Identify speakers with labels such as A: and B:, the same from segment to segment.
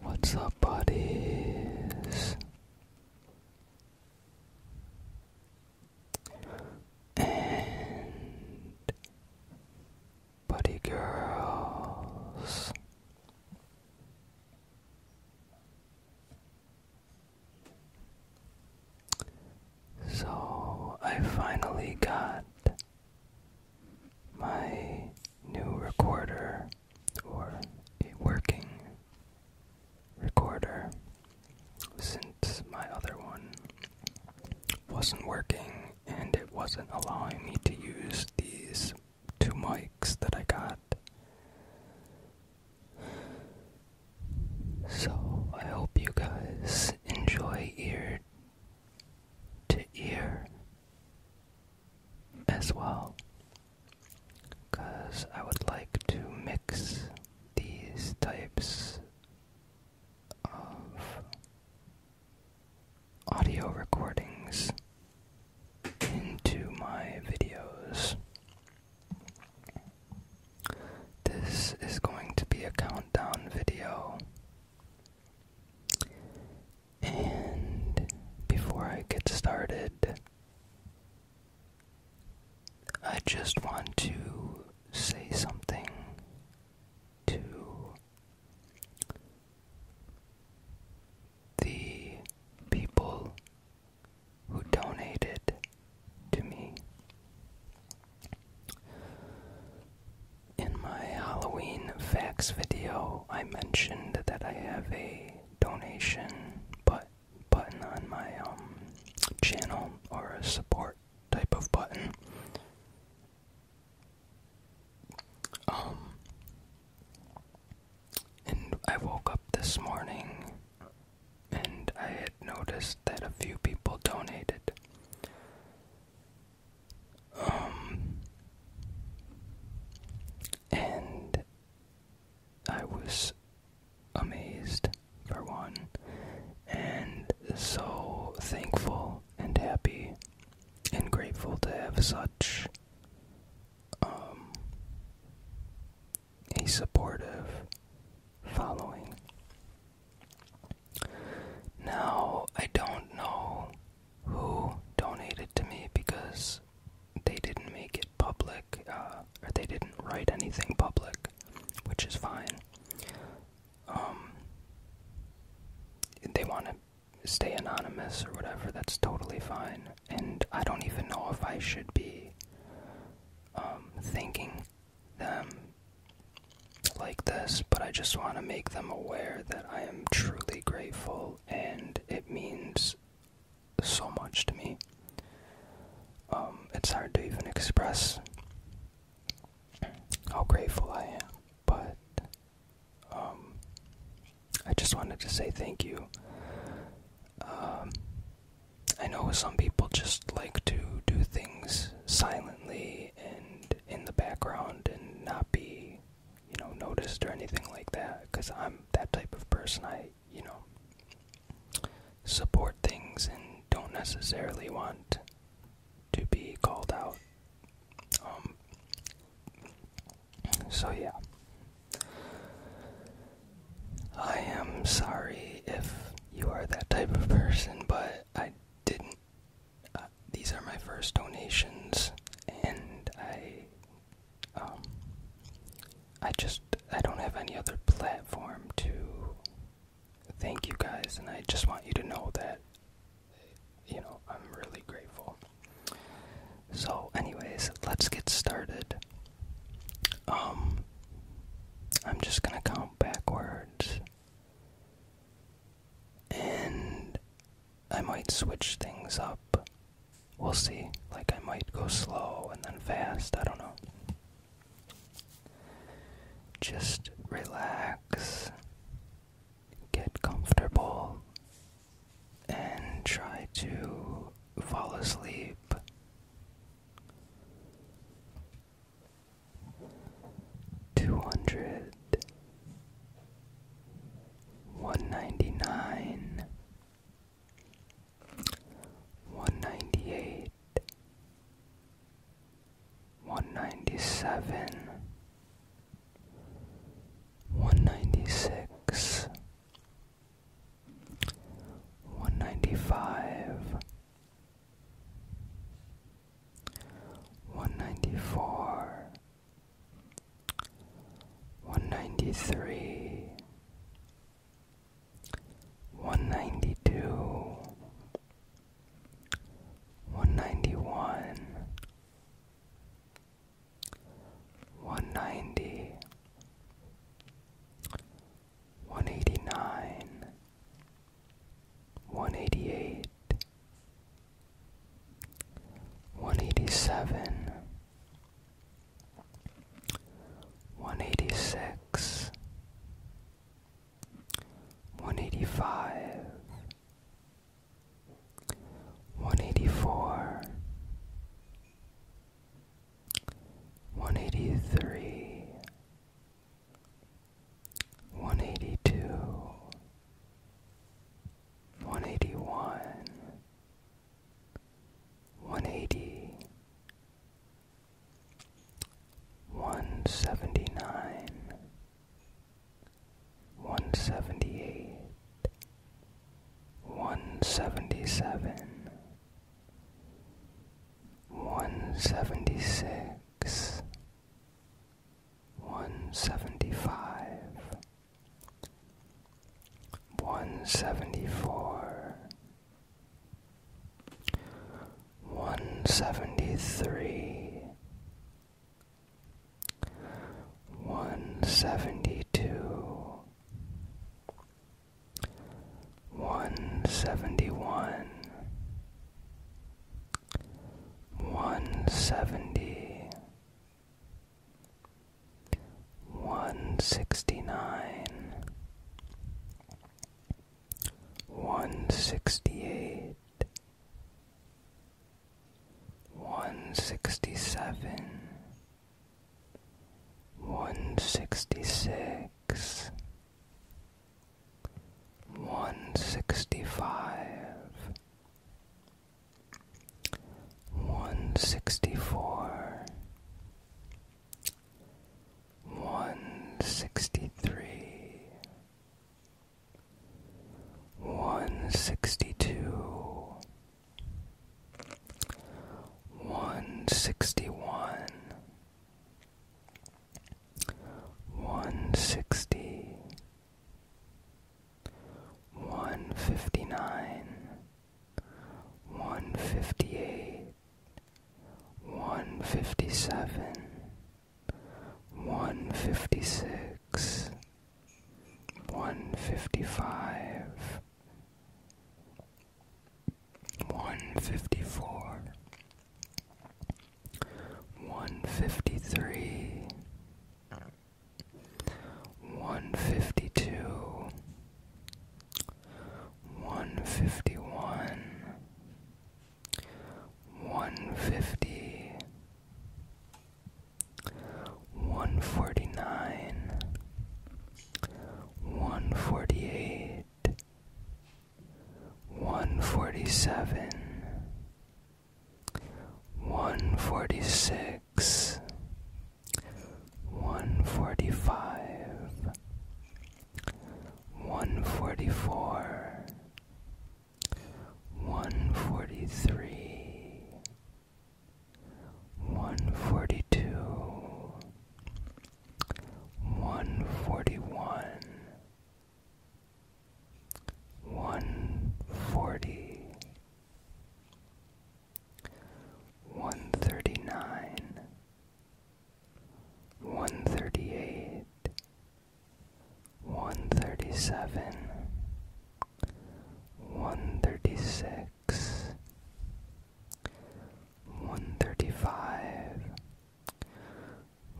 A: What's up, buddies? And buddy girls. So I finally got my new recorder or a working recorder since my other one wasn't working and it wasn't allowing me to use these two mics that I got. So I hope you guys enjoy your to ear as well because I would like to mix these types of audio recordings into my videos. This is going to be a countdown video and before I get started, I just want to say something to the people who donated to me. In my Halloween facts video, I mentioned that I have a donation but button on my um, channel or a support type of button. Um, and I woke up this morning and I had noticed that a few people donated. Um, and I was amazed for one, and so thankful and happy and grateful to have such um, a supportive following. Now, I don't know who donated to me because they didn't make it public, uh, or they didn't write anything public, which is fine. Um, they want to stay anonymous or whatever, that's totally fine. And I don't even know if I should be um, thinking them like this, but I just want to make them aware that I am truly grateful and it means so much to me. Um, it's hard to even express how grateful I am, but um, I just wanted to say thank you. Um, I know some people just like to do things silently and in the background and not be, you know, noticed or anything like that. Because I'm that type of person. I, you know, support things and don't necessarily want to be called out. Um, so yeah. I am sorry if you are that type of person, but I didn't. Uh, these are my first donations, and I, um, I just I don't have any other platform to thank you guys, and I just want you to know that, you know, I'm really grateful. So, anyways, let's get started. Um, I'm just gonna count backwards. And I might switch things up. We'll see. Like, I might go slow and then fast. I don't know. Just relax, get comfortable, and try to fall asleep two hundred one ninety nine one ninety eight one ninety seven one ninety six one ninety five, one ninety four, one ninety three, one ninety two, one ninety one. 190 one eighty nine, one eighty eight, one eighty seven, one eighty six, one eighty five. 184 one eighty three, one eighty two, one eighty one, one one. One eighty. One seventy nine. nine, one seventy eight. 177 one seventy six, one seventy five, one seventy four, one seventy three, one seventy two one seventy one, one seventy, one sixty nine, one sixty eight, one sixty seven. 167 one sixty six, one sixty five, one sixty four, one sixty three, one sixty two one sixty one, one sixty, one fifty nine, one fifty eight, one fifty seven, one fifty six. One fifty five, one fifty four, one fifty three, one fifty two, one fifty one, one fifty one forty nine, one forty eight, one forty seven, one forty six, one forty five, one forty four. One forty three, one forty two, one forty one, one forty, one thirty nine, one thirty eight, one thirty seven. One thirty six, thirty five,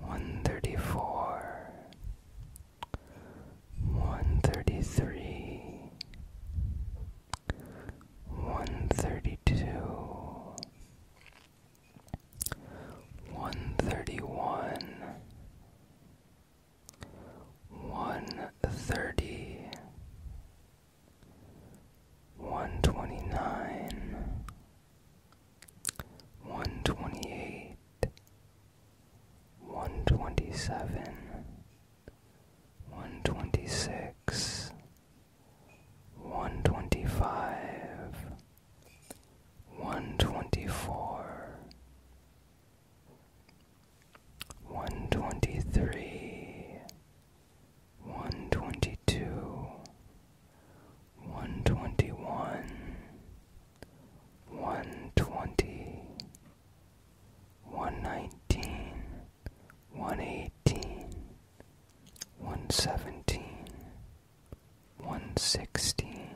A: one thirty four, one thirty three, one thirty two. 131 one thirty, one twenty nine, one twenty eight, one twenty seven, one twenty six, one twenty five. One twenty four, one twenty three, one twenty two, one twenty one, one twenty, one nineteen, one eighteen, one seventeen, one sixteen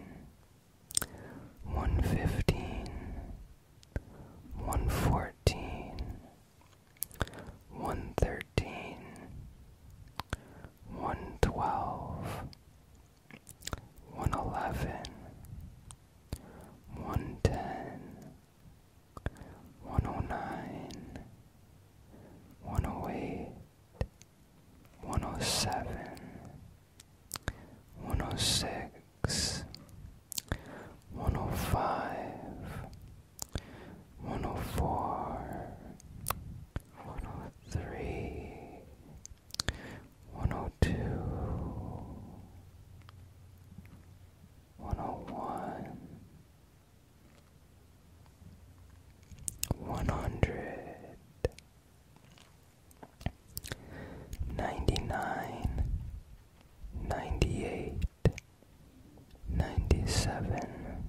A: one fifteen, one fourteen, one thirteen, one twelve, one eleven, one ten, one oh nine, one oh eight, one oh seven. 106 105 104 103 102 101 100 Ninety nine. Ninety eight. Ninety seven.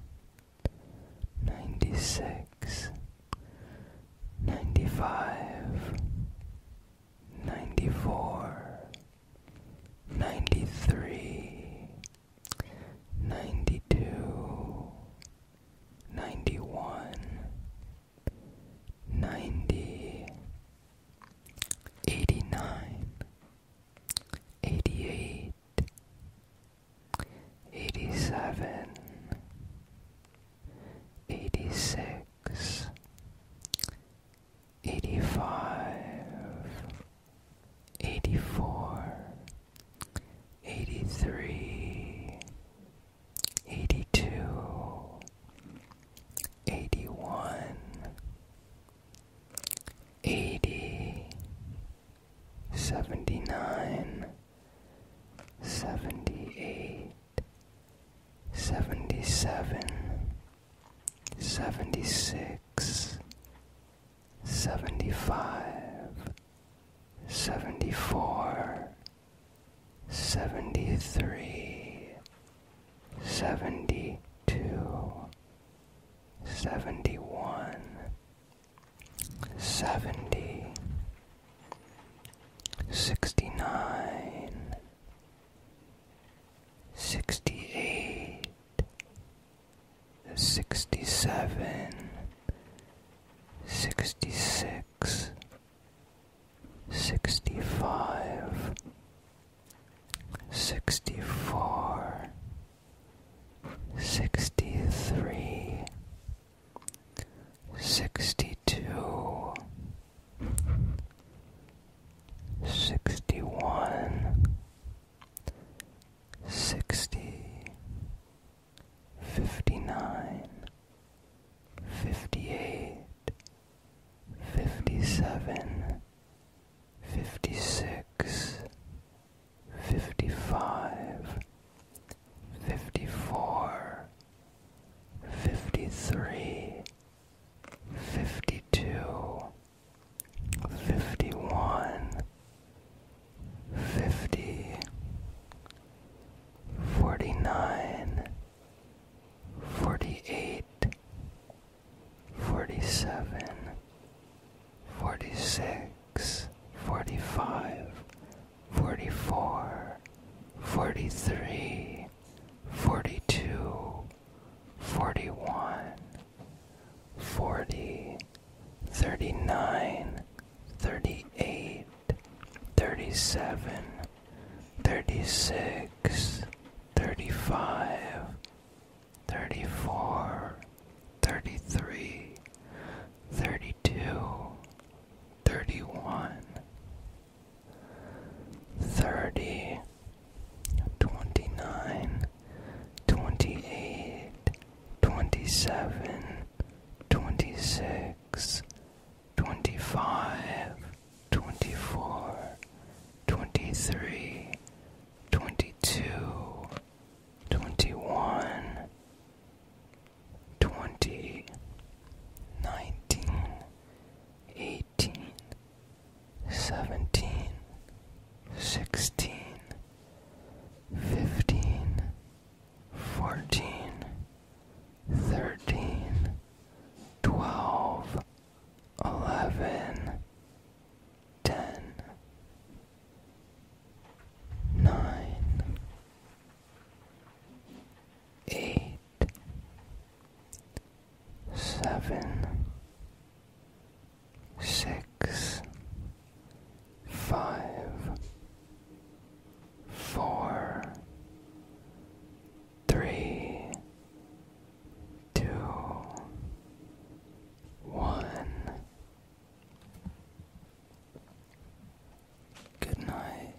A: Ninety six. Ninety five. Ninety four. Ninety three. Ninety two. Ninety one ninety, eighty nine, eighty eight, eighty seven, eighty six, eighty five, eighty four, eighty three. 82 81 80 79 78 77 76 75 74 Seventy-three, seventy-two, seventy-one, seventy, sixty-nine, sixty-eight, sixty-seven, sixty-six sixty-five, sixty-four, sixty-three, sixty-two, sixty-one, sixty. 59 58 57 56 55 54 53 52 51 fifty, forty nine, forty eight, forty seven, forty six, forty five, forty four, forty three, forty two, forty one, forty, thirty nine. 38 37 36 35 34 33 32 31 30 29 28 27 26 25 24 23 22 21 20 19 18 17 16 15 fourteen, thirteen, twelve, eleven, ten, nine, eight, seven, six five, four, three, two, one. Good night.